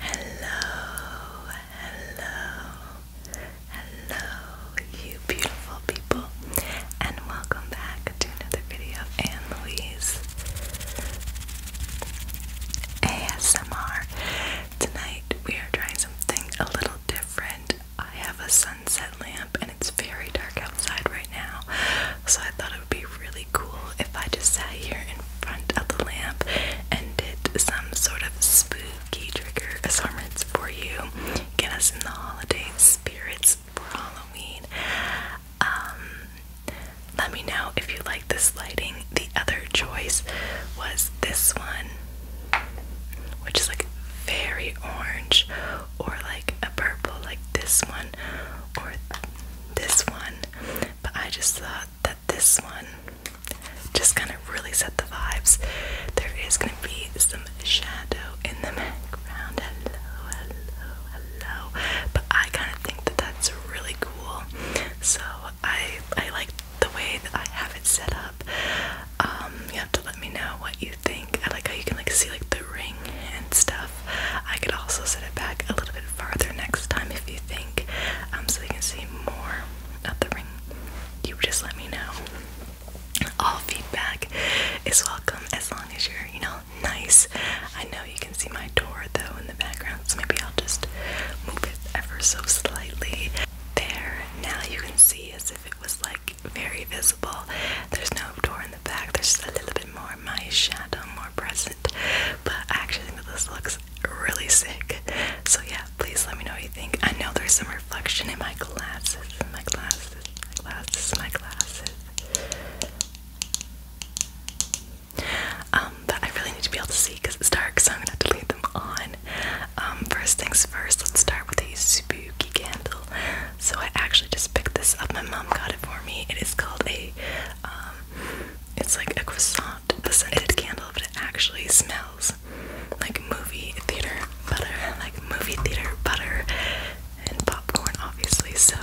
Hello, hello, hello, you beautiful people, and welcome back to another video of ASMR. Tonight we are trying something a little different. I have a sunset lamp, and it's very dark outside right now, so I thought it would be really cool if I just sat here in front of the lamp and did some sort of spooky trigger assortments for you. Get us in the holiday spirits for Halloween. Um, let me know if you like this lighting. The other choice was this one, which is like very orange, or like a purple, like this one, or this one, but I just thought that this one just kind of really set the vibes. There is going to be some shadow in the background. Hello, hello, hello. But I kind of think that that's really cool. So I I like the way that I have it set up. Um, you have to let me know what you think. I like how you can like see like the ring and stuff. I could also set it back a little bit farther next time if you think, um, so you can see more of the ring. You just let me know. All feedback is welcome as long as you're, you know, nice. I know you can see my door though in the background, so maybe I'll just move it ever so slightly. There, now you can see as if it was like very visible. There's no door in the back, there's just a little bit more my shadow, more present it. But I actually think that this looks really sick. So yeah, please let me know what you think. I know there's some reflection in my glasses, in my glasses, my glasses, my glasses. Um, that I really need to be able to see because it's dark, so I'm gonna have to leave them on. Um, first things first, let's start with a spooky candle. So I actually just picked this up. My mom got it for me. It is called a um, it's like a croissant, a scented candle, but it actually smells like movie theater butter, like movie theater butter and popcorn, obviously. So,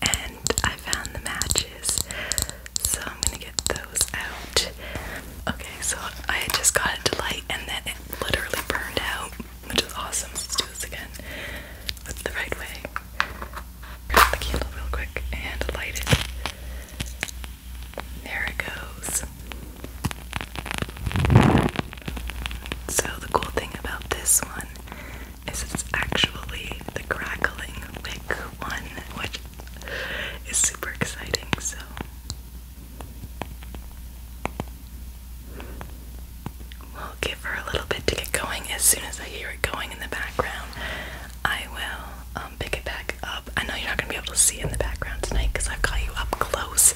and I found the matches, so I'm gonna get those out. Okay, so I just got it to and then it literally burned out, which is awesome. let's do this again. That's the right way. Grab the candle real quick and light it. There it goes. So the cool thing about this one is it's actually the crackling wick one, which is super exciting. So We'll give her a little bit to get going. As soon as I hear it going in the background, I will um, pick it back up. I know you're not going to be able to see in the background tonight because I've got you up close,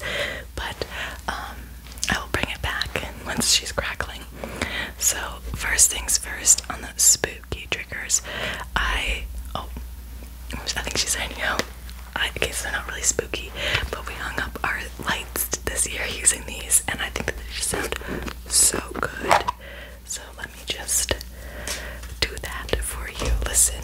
but um, I will bring it back once she's crackling. So, first things first, on the spooky triggers, I. Oh, I think she's saying no. I, okay, so they're not really spooky, but we hung up our lights this year using these, and I think that they just sound so good. So let me just do that for you. Listen.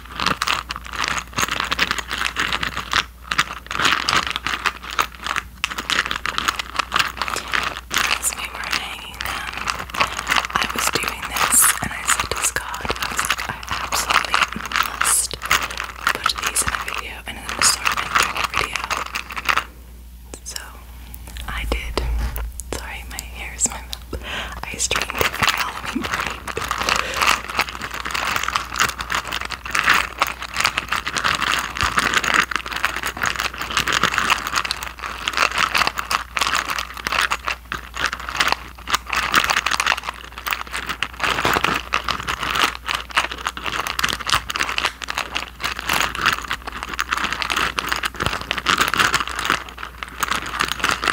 As we were hanging them, I was doing this and I said to Scott, I was like, I absolutely must put these in a video and then start entering a video. So I did. Sorry, my hair is my mouth. I streamed at my Halloween party.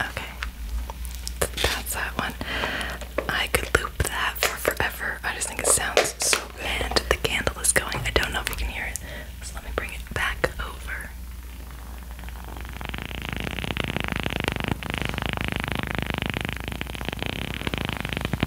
Okay, that's that one. I could loop that for forever. I just think it sounds so good. the candle is going. I don't know if you can hear it, let me bring it back over.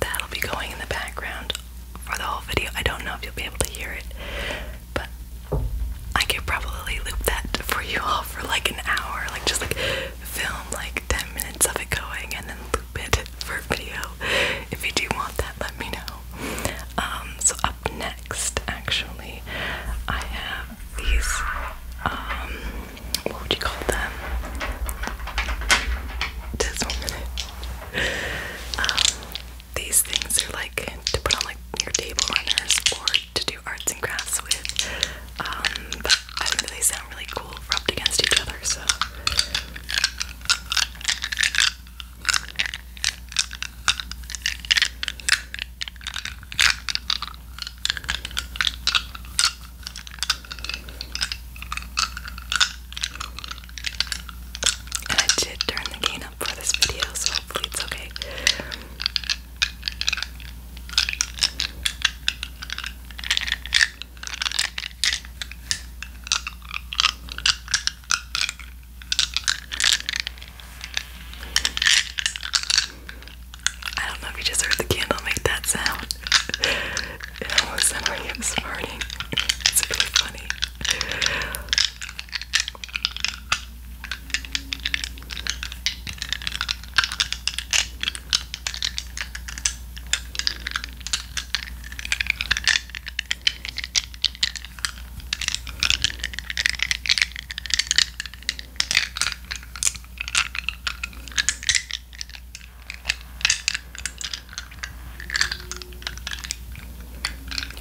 that'll be going in the background for the whole video. I don't know if you'll be able to hear it, but I could probably loop that for you all for like an hour, like just like film like 10 minutes of it going and then loop it for video. If you do want that, let me know. Um, so up next, actually, I have these, um, what would you call them? Um, these things are like to put on like your table runners or to do arts and crafts with. Um, but I think they sound really cool rubbed against each other, so. I did turn the gain up for this video, so hopefully it's okay. I don't know if you just heard the candle make that sound. It was sounded like it was farting. It's really funny.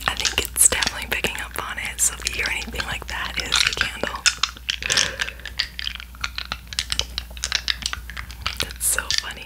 I think it's definitely picking up on it, so if you hear anything like that, it is the candle. That's so funny.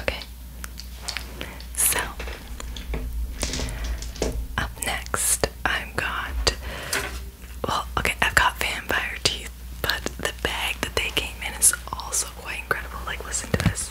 Okay, so up next, I've got well, okay, I've got vampire teeth, but the bag that they came in is also quite incredible. Like, listen to this.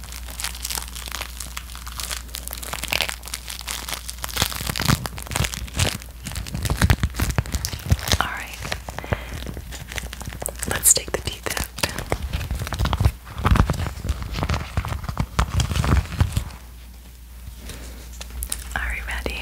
All right, let's take the deep end. Are you ready?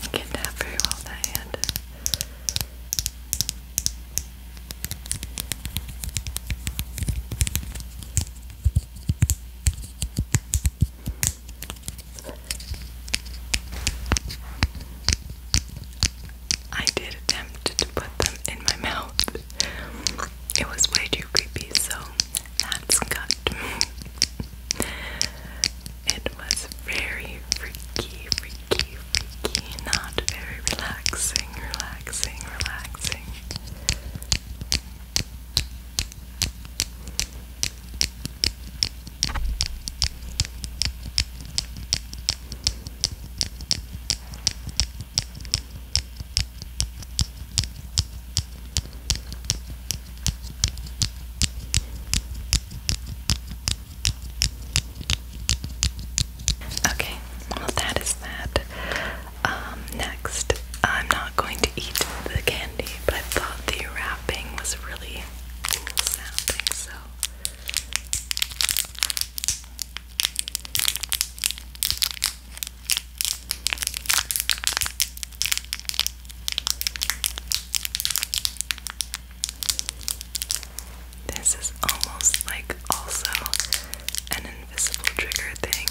I can't tap very well with that hand. I did attempt to put them in my mouth. It was way too creepy, so that's cut. it was very freaky, freaky, freaky, not very relaxing, relaxing, relaxing. Okay, well, that is that. Um, next, I'm not going to eat the candy, but I thought the wrapping was really cool so this is almost like also an invisible trigger thing.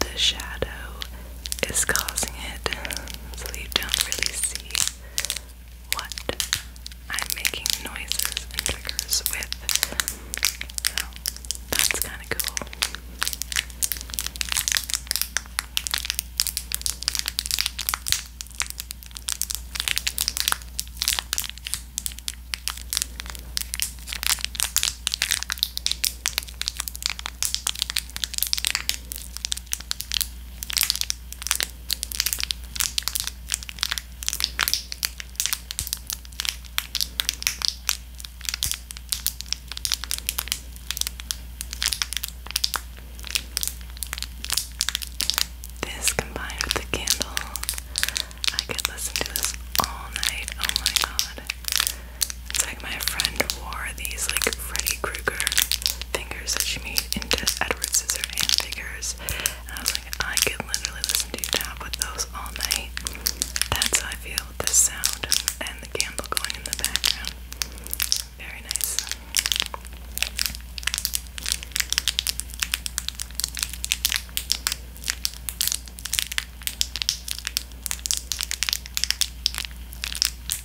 the shadow is causing it, so you don't really see what I'm making noises and triggers with. So that's kind of cool. This combined with the candle, I could listen to this all night. Oh my god. It's like my friend wore these like Freddy Krueger fingers that she made into Edward Scissorhand fingers, And I was like, I could literally listen to you tap with those all night. That's how I feel with the sound and the candle going in the background. Very nice.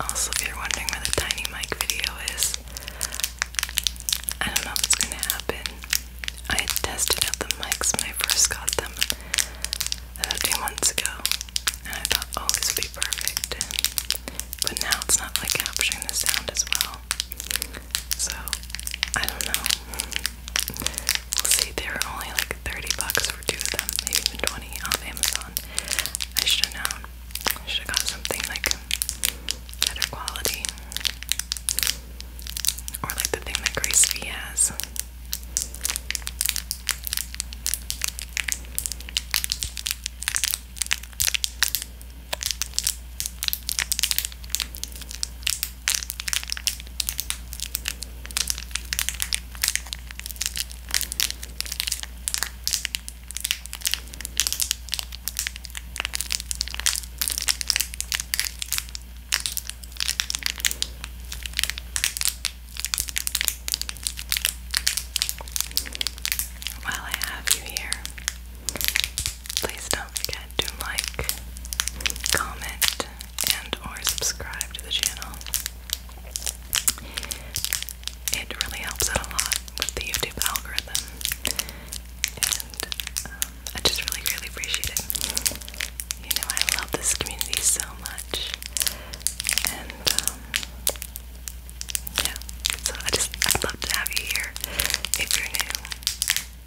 Also, if you're wondering where the tiny mic video is, I don't know if it's gonna happen. I had tested out the mics when I first got them about two months ago, and I thought, oh, this would be perfect. But now it's not like capturing the sound as well. So I don't know. We'll see. They were only like 30 bucks for two of them, maybe even 20 off Amazon. I should have known. should have got something like better quality. Or like the thing that Grace has. While I have you here, Please don't forget to like, comment, and or subscribe to the channel. It really helps out a lot with the YouTube algorithm. And um, I just really, really appreciate it. You know, I love this community so much. And, um, yeah. So I just, I'd love to have you here if you're new.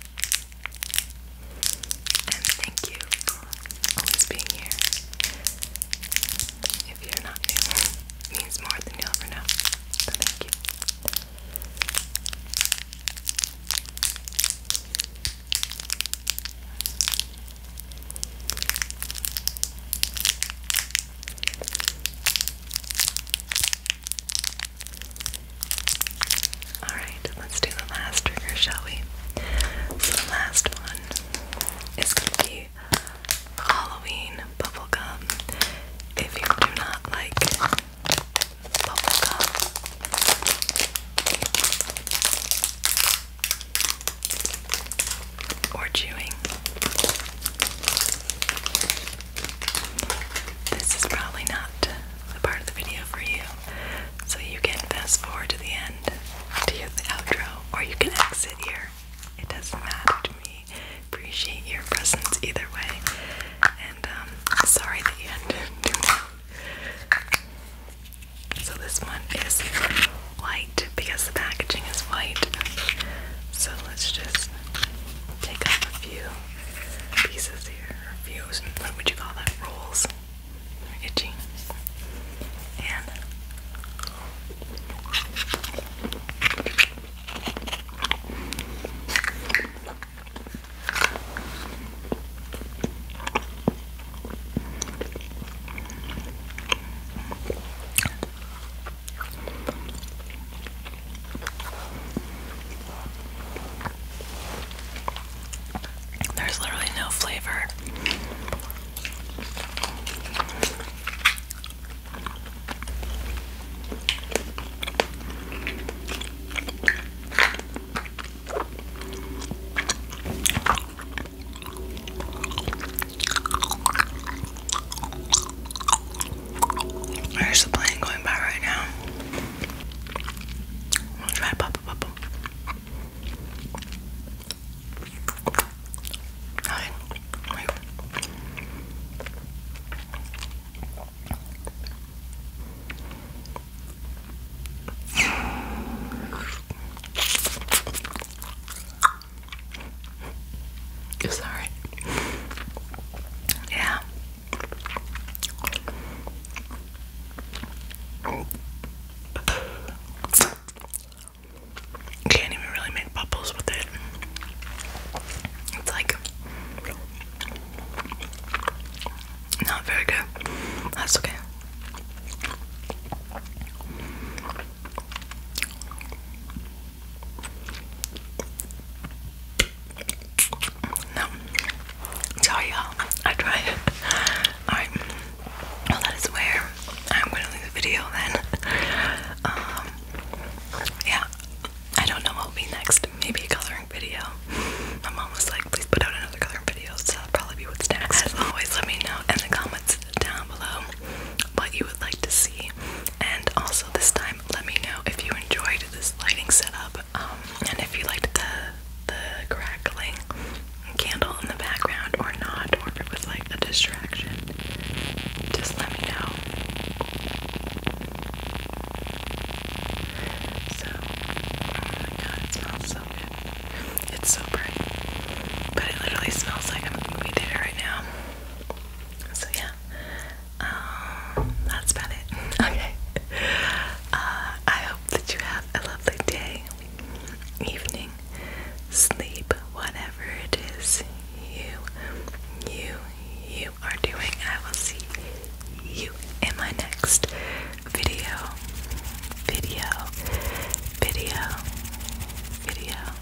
And thank you for always being here. If you're not new, it means more than you'll ever know. So thank you. Alright, let's do the last trigger, shall we? So the last one is going to be Halloween bubblegum. If you do not like bubblegum, or chewing, this is probably not the part of the video for you, so you can fast forward to the end to hear outro, or you can exit here. It doesn't matter to me. Appreciate your presence either way, and um, sorry that you had to do So this one is white because the packaging is white. So let's just take off a few pieces here reviews and what would you call that? Rules. Itchy. And there's literally no flavor. Where's the plane going by right now? I'll try Papa Papa. Hi. Wait. Yeah, you can't even really make bubbles with it. It's like not very good. That's okay. No. Sorry, y'all. I tried Alright. Well, that is where I'm going to leave the video then. Um, yeah. I don't know what will be next. Maybe coloring video. My mom was like, please put out another coloring video, so that'll probably be what's next. As always, let me know in the comments down below what you would like to see. And also, this time, let me know if you enjoyed this lighting setup um, and if you liked the the crackling candle in the background or not, or if it was like a distraction, just let me know. So, oh my god, it smells so good. It's so bright, but it literally smells like I'm gonna be there right now. So yeah, um, that's about it. Okay. Uh, I hope that you have a lovely day, evening, sleep, whatever it is you, you, you are doing. I will see you in my next video, video, video, video.